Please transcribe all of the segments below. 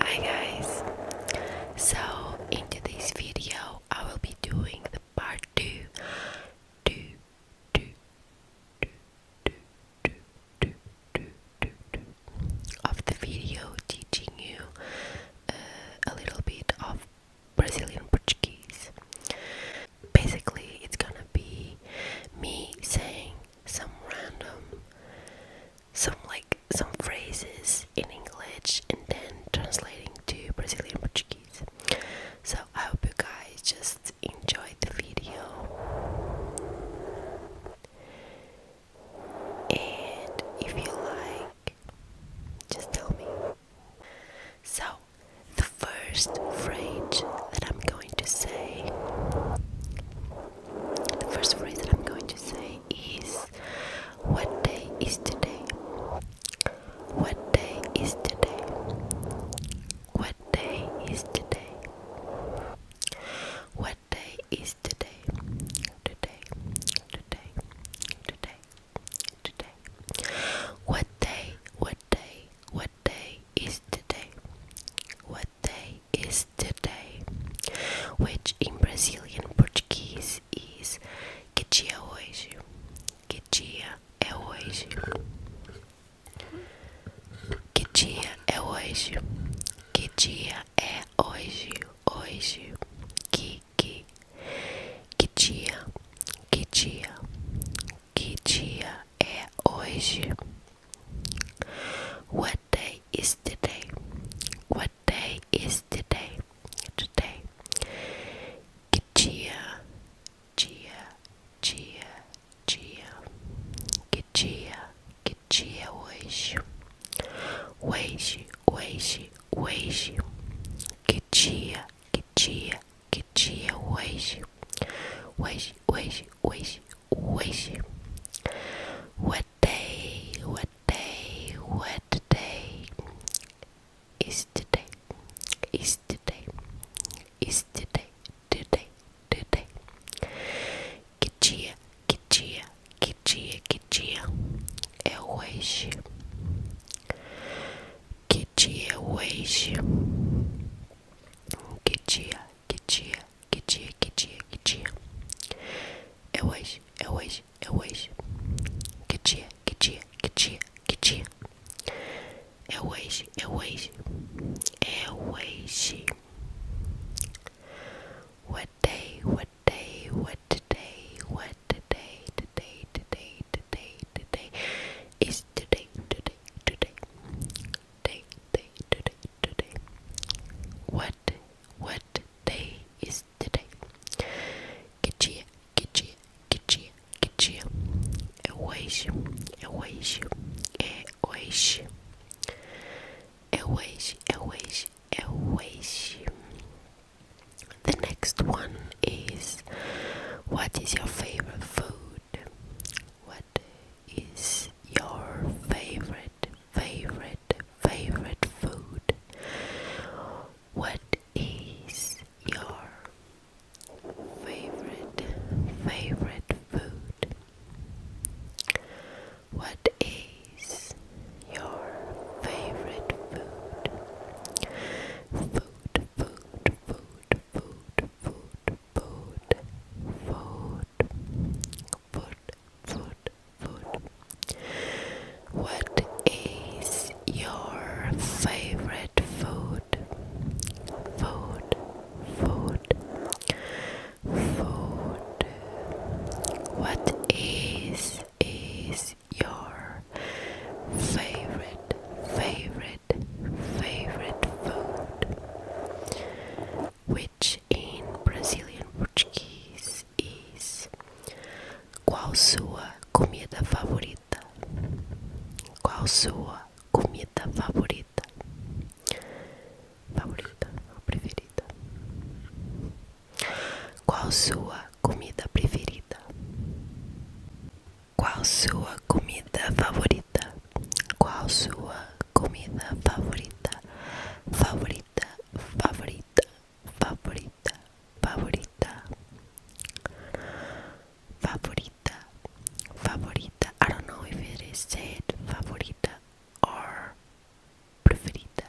Hi guys! So in today's video I will be doing the part 2 of the video teaching you uh, a little bit of Brazilian Portuguese. Basically, it's gonna be me saying some random, some like some phrases in English and then translating to Brazilian Portuguese. So I hope you guys just enjoyed the video. And if you like, just tell me. So, the first phrase that I'm going to say the first phrase that I'm going to say is What day is today? What day is today? What day is today? What day is today? Today, today, today, today. What day, what day, what day is today? What day is today, which in Brazilian Portuguese is Que dia é hoje? Que dia é hoje? Que dia é hoje? Hoje, que que que dia? Que dia? Que dia é hoje? When what day is today? What day is today? Today. Gia, Gia, Gia, Gia. Que dia, que dia hoje? Hoje, hoje, hoje. Que dia, que dia, que dia hoje? Hoje, hoje, hoje, hoje. What what day, what day, what day is today? Is today, is today, today, today. Que dia, que dia, que dia, que dia é hoje? Que dia é hoje? Que dia, que dia, que dia, que dia, que dia. É hoje, é hoje, é hoje. Que dia, que dia, que dia, que dia. É hoje, é hoje, é hoje. What day, what day, what today, what today, today, today, today, today. Is today, today, today. Day, day, today, today. What what day is today? Kitchia, kitchia, kitchia, kitchia. É hoje, é hoje, é hoje. É hoje, é hoje, é hoje. The next one is What is your favorite food? What is your favorite, favorite? favorite, food? What is your favorite, favorite food? What is your favorite food? Food, food, food, food, food, food, food food, food, food. What is your favorite food? Food, food, food. What is is your favorite, favorite, favorite food? which in Brazilian Portuguese is Qual sua comida favorita? Qual sua comida favorita? Favorita ou preferida? Qual sua comida preferida? Qual sua comida favorita? Qual sua comida favorita? Favorita favorita, favorita, favorita, favorita, favorita, favorita. I don't know if it is said favorita or preferita.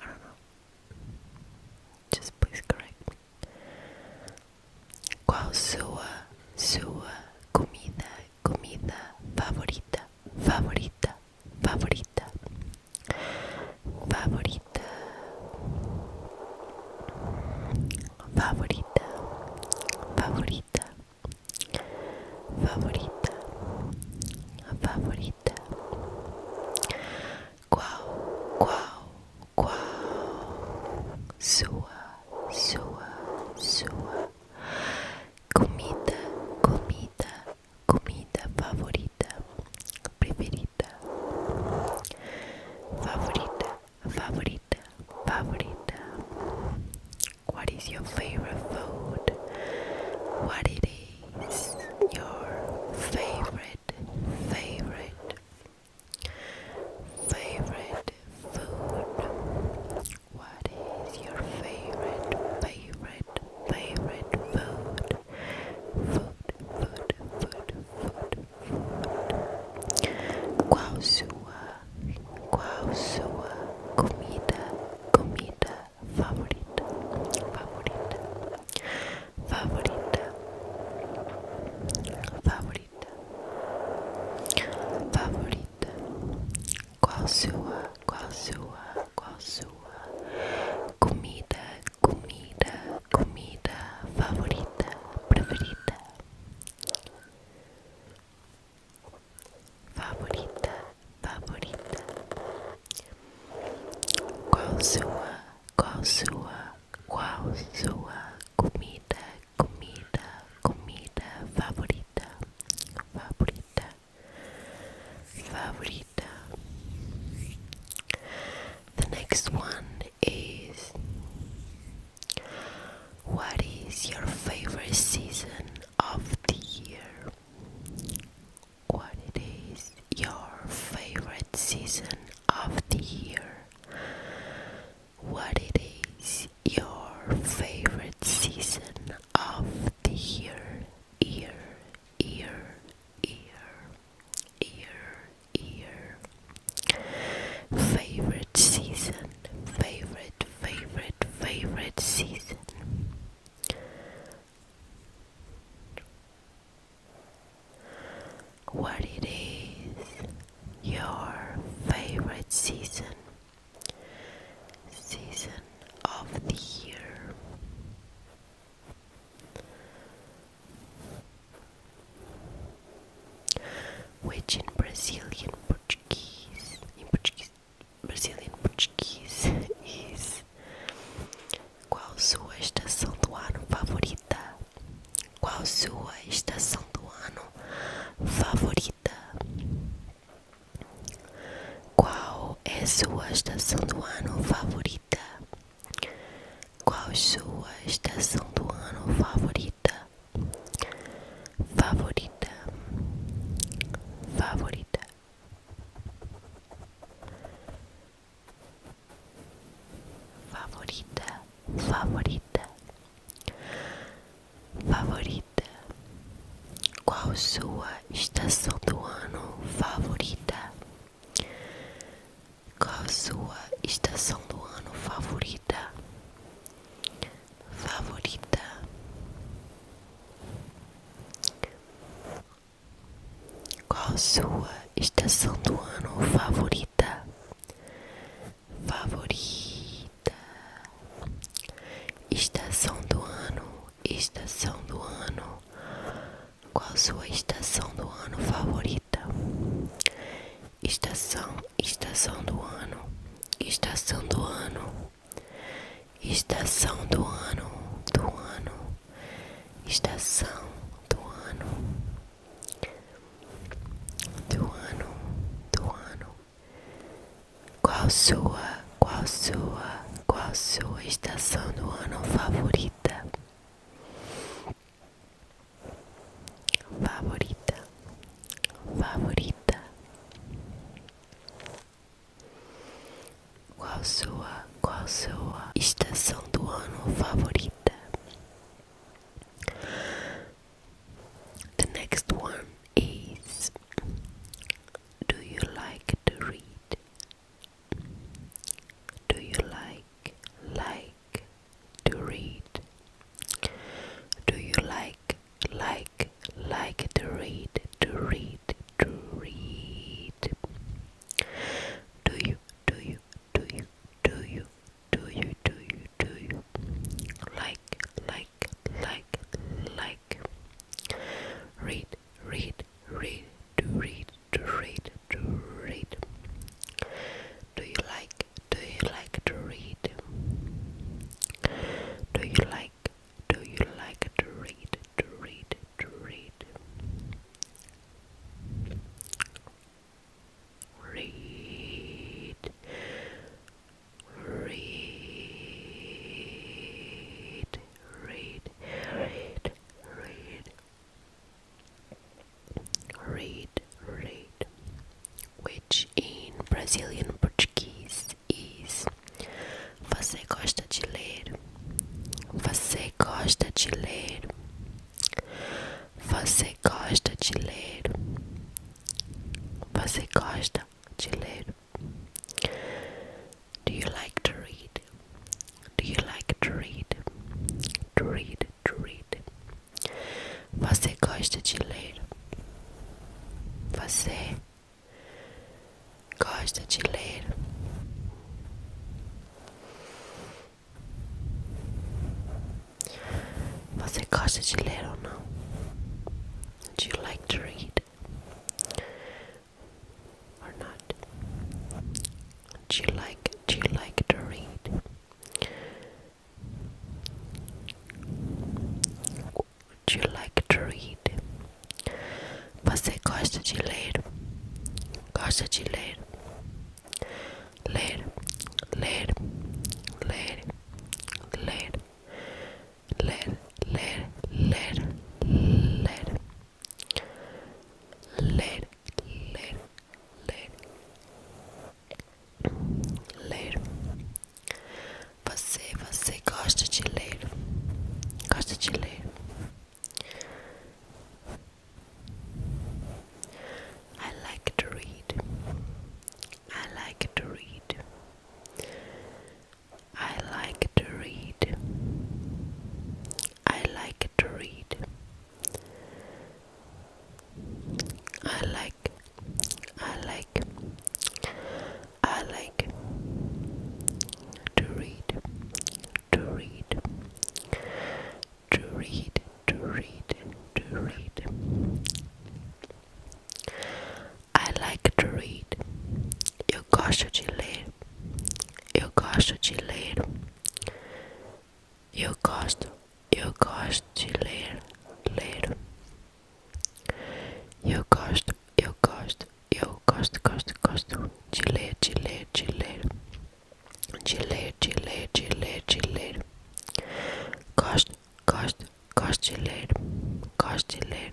I don't know. Just please correct me. Qual sua, sua comida, comida favorita, favorita, favorita, favorita, favorita, favorita, favorita, favorita? Qual, qual, qual sua, sua, sua Comida, comida, comida favorita, preferida. Favorita, favorita, favorita. What is your favorite food? What it is your favorite, favorite, favorite food? What is your favorite, favorite, favorite food? Food, food, food, food, food. Qual sua, comida, comida favorita, favorita, favorita, favorita, favorita? qual sua, qual sua, qual sua comida, comida, comida favorita, preferida, favorita, favorita, qual sua, qual sua, qual sua comida, comida, comida favorita, favorita, favorita. The next one is What is your favorite season of the year? What is your favorite season of the year? what it is your favorite season of the year year year year year year year. favorite season favorite favorite favorite season what it is your favorite season Season of the year. Which in Brazilian Portuguese, in Portuguese, Brazilian Portuguese is Qual sua estação do ano favorita? Qual sua estação do ano favorita? Qual é sua estação do ano favorita? Qual sua estação do ano favorita? Favorita, favorita. Favorita, favorita favorita? Qual sua estação do ano favorita? Qual sua estação do ano favorita? Favorita. Qual sua estação do ano favorita? favorita. Estação do ano, estação do ano. Qual sua estação do ano favorita? Estação, estação do ano, estação do ano. Estação do ano, do ano. Estação do ano. Do ano, do ano. Qual sua, qual sua, qual sua estação do ano favorita? Favorita, favorita. Qual sua, qual sua estação do ano favorita? The next one is Do you like to read? Do you like, like to read? Do you like, like, like to read, to read, to read? Do you, do you, do you, do you, do you, do you, do you, do you like, like? like, like, like. Read, read, read, to read, to read, to read. Do you like, do you like to read? Do you like, do you like to read, to read, to read? Read, read, read, read, read, read, read, which in Brazilian Portuguese is Você gosta de ler? Você gosta de ler? Você gosta de ler? Você gosta gosta de Do you like to read? Do you like to read? To read, to read. Você gosta de ler? Você gosta de ler? Você gosta de ler ou não? Do you like to read or not? Do you like do you like to read? Do you like to read? Você gosta de ler? Gosta de ler? Ler, ler, ler, ler. ler, ler, ler, ler, ler, ler, ler, ler. Você, você gosta de ler, gosta de ler. I like to read. I like to read. I like to read. I like to read. I like, I like, I like to read, to read, to read, to read, to read. I like to read. Eu gosto de ler. Eu gosto de ler. Eu gosto. Eu gosto de ler. Ler. Eu gosto. Eu gosto. Eu gosto, gosto, gosto de ler, de ler, de ler. De ler, de ler, de ler, de ler. Gosto, gosto, carceler, carceler.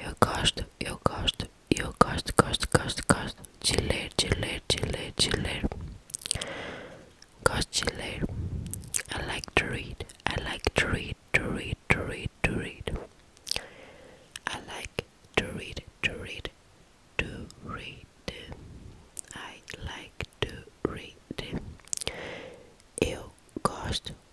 Eu gosto, eu gosto, eu gosto, gosto, gosto, gosto de ler, de ler, de ler, de ler. Gosto de ler. I like to read, I like to read, to read, to read, to read. I like to read, to read, to read. I like to read. Eu gosto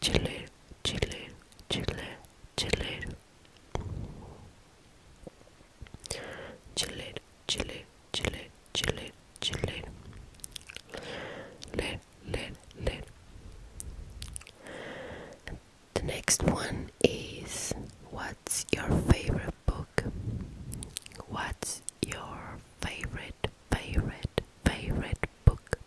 chileiro, chileiro, chileiro, chileiro, chileiro, chileiro, chileiro, chileiro, chileiro, ler, ler, ler. The next one is what's your favorite book? What's your favorite, favorite, favorite book?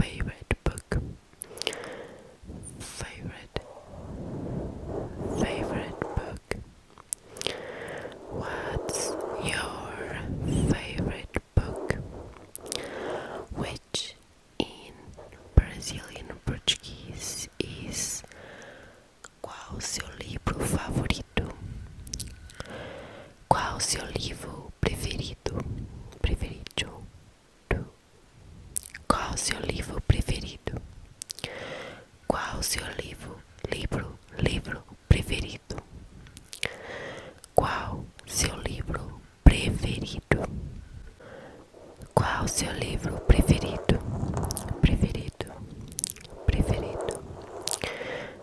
favorite book favorite favorite book what's your favorite book which in Brazilian Portuguese is Qual seu livro favorito? Qual seu livro preferido? Preferido? Qual seu livro preferido? Qual seu livro, livro, livro preferido? Qual seu livro preferido? Qual seu livro preferido? Preferido, preferido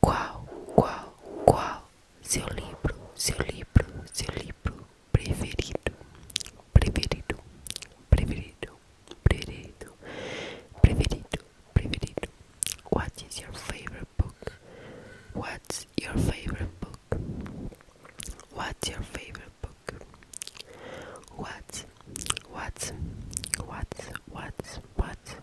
Qual, qual, qual seu livro, seu livro, seu livro preferido? Preferido, preferido, preferido, preferido, preferido. What is your favorite book? What's your favorite book? What's your favorite book? What, what, what, what, what?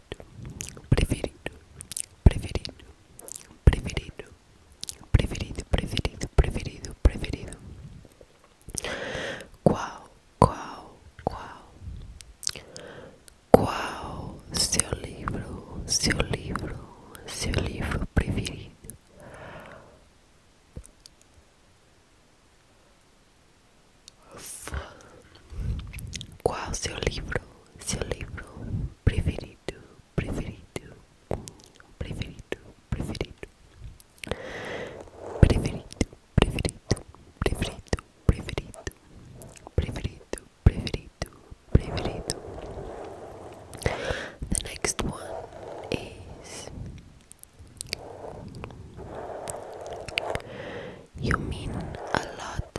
preferido, preferido, preferido, preferido, preferido, preferido, preferido, preferido. Qual, qual, qual? Qual seu livro, seu livro, seu livro preferido? Qual seu livro, seu livro preferido, preferido, preferido, preferido, preferido, preferido, preferido, preferido, preferido, The next one is you mean a lot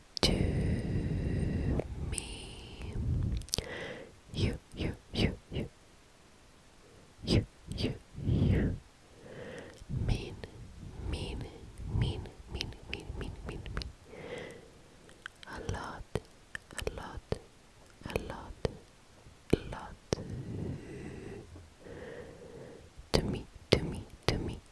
to me. You, you, you, you. You, you, you. Mean, mean, mean, mean, mean, mean, mean, mean. A lot, a lot, a lot, a lot. To me, to me, to me,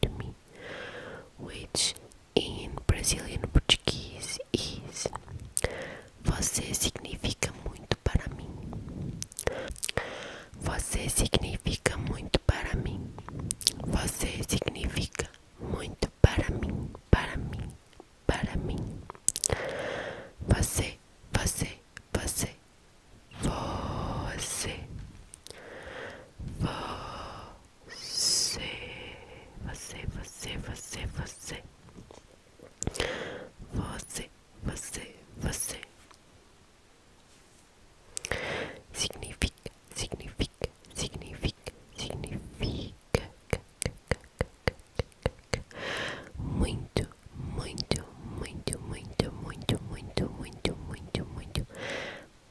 to me, which in Brazilian Portuguese is Você significa muito para mim. Você significa muito para mim. Você significa muito para mim, para mim, para mim. Você, você, você, você. Você. Você, você, você, você. Você, você, você. Significa, significa, significa, significa. Muito, muito, muito, muito, muito, muito, muito, muito, muito.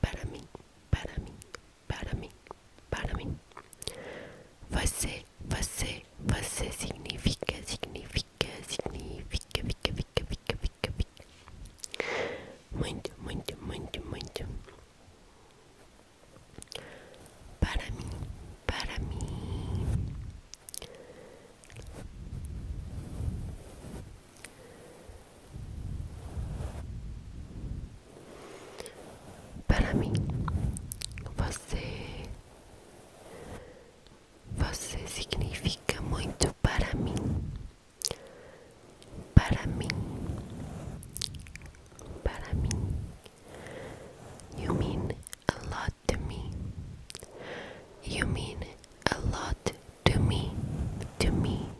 para mim, para mim, para mim, para mim. Você, você, você significa, significa, significa, fica, fica, fica, fica, fica. Muito, muito, muito, muito. Para mim, para mim. Para mim, você. Você significa muito para mim. Para mim. Para mim. You mean a lot to me. You mean a lot to me. To me.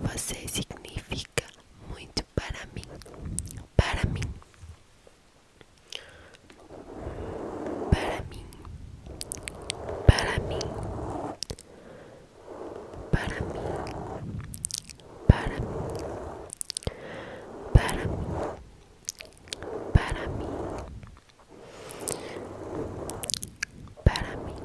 Você significa muito para mim. Para mim. Para mim. Para mim. Para mim. Para mim. Para mim. Para mim. Para mim.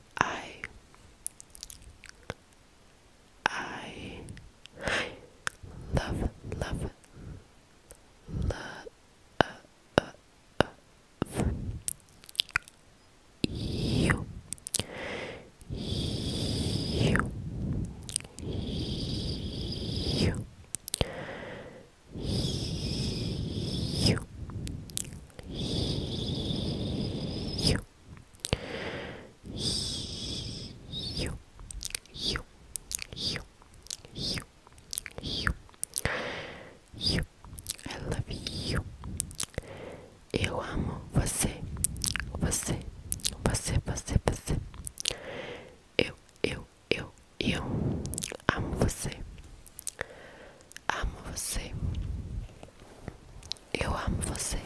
I I love love love uh, uh, uh, you you you you I love you. Eu amo você, você, você, você, você. Eu, eu, eu, eu amo você amo você. Eu amo você.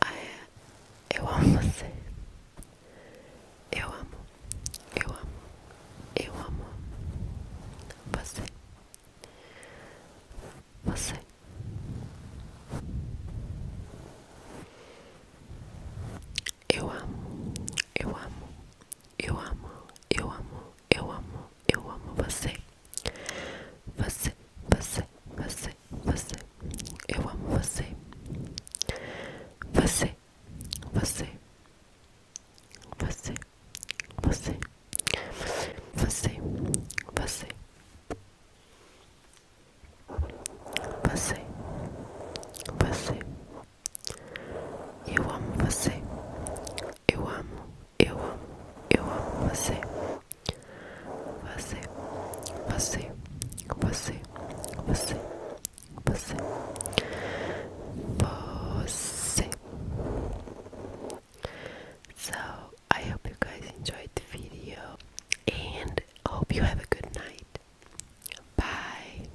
Ah, é. Eu amo você. Eu amo. Eu amo. Eu amo você. Você. Eu amo. Eu amo. Eu amo. Eu amo eu amo, eu amo você. Você, você, você, você, eu amo você. Você, você, você, você, você, você, você, você. Eu amo você. Eu amo, eu amo, eu amo você. Você, você, você, você, você, você. So I hope you guys enjoyed the video and hope you have a good night. Bye.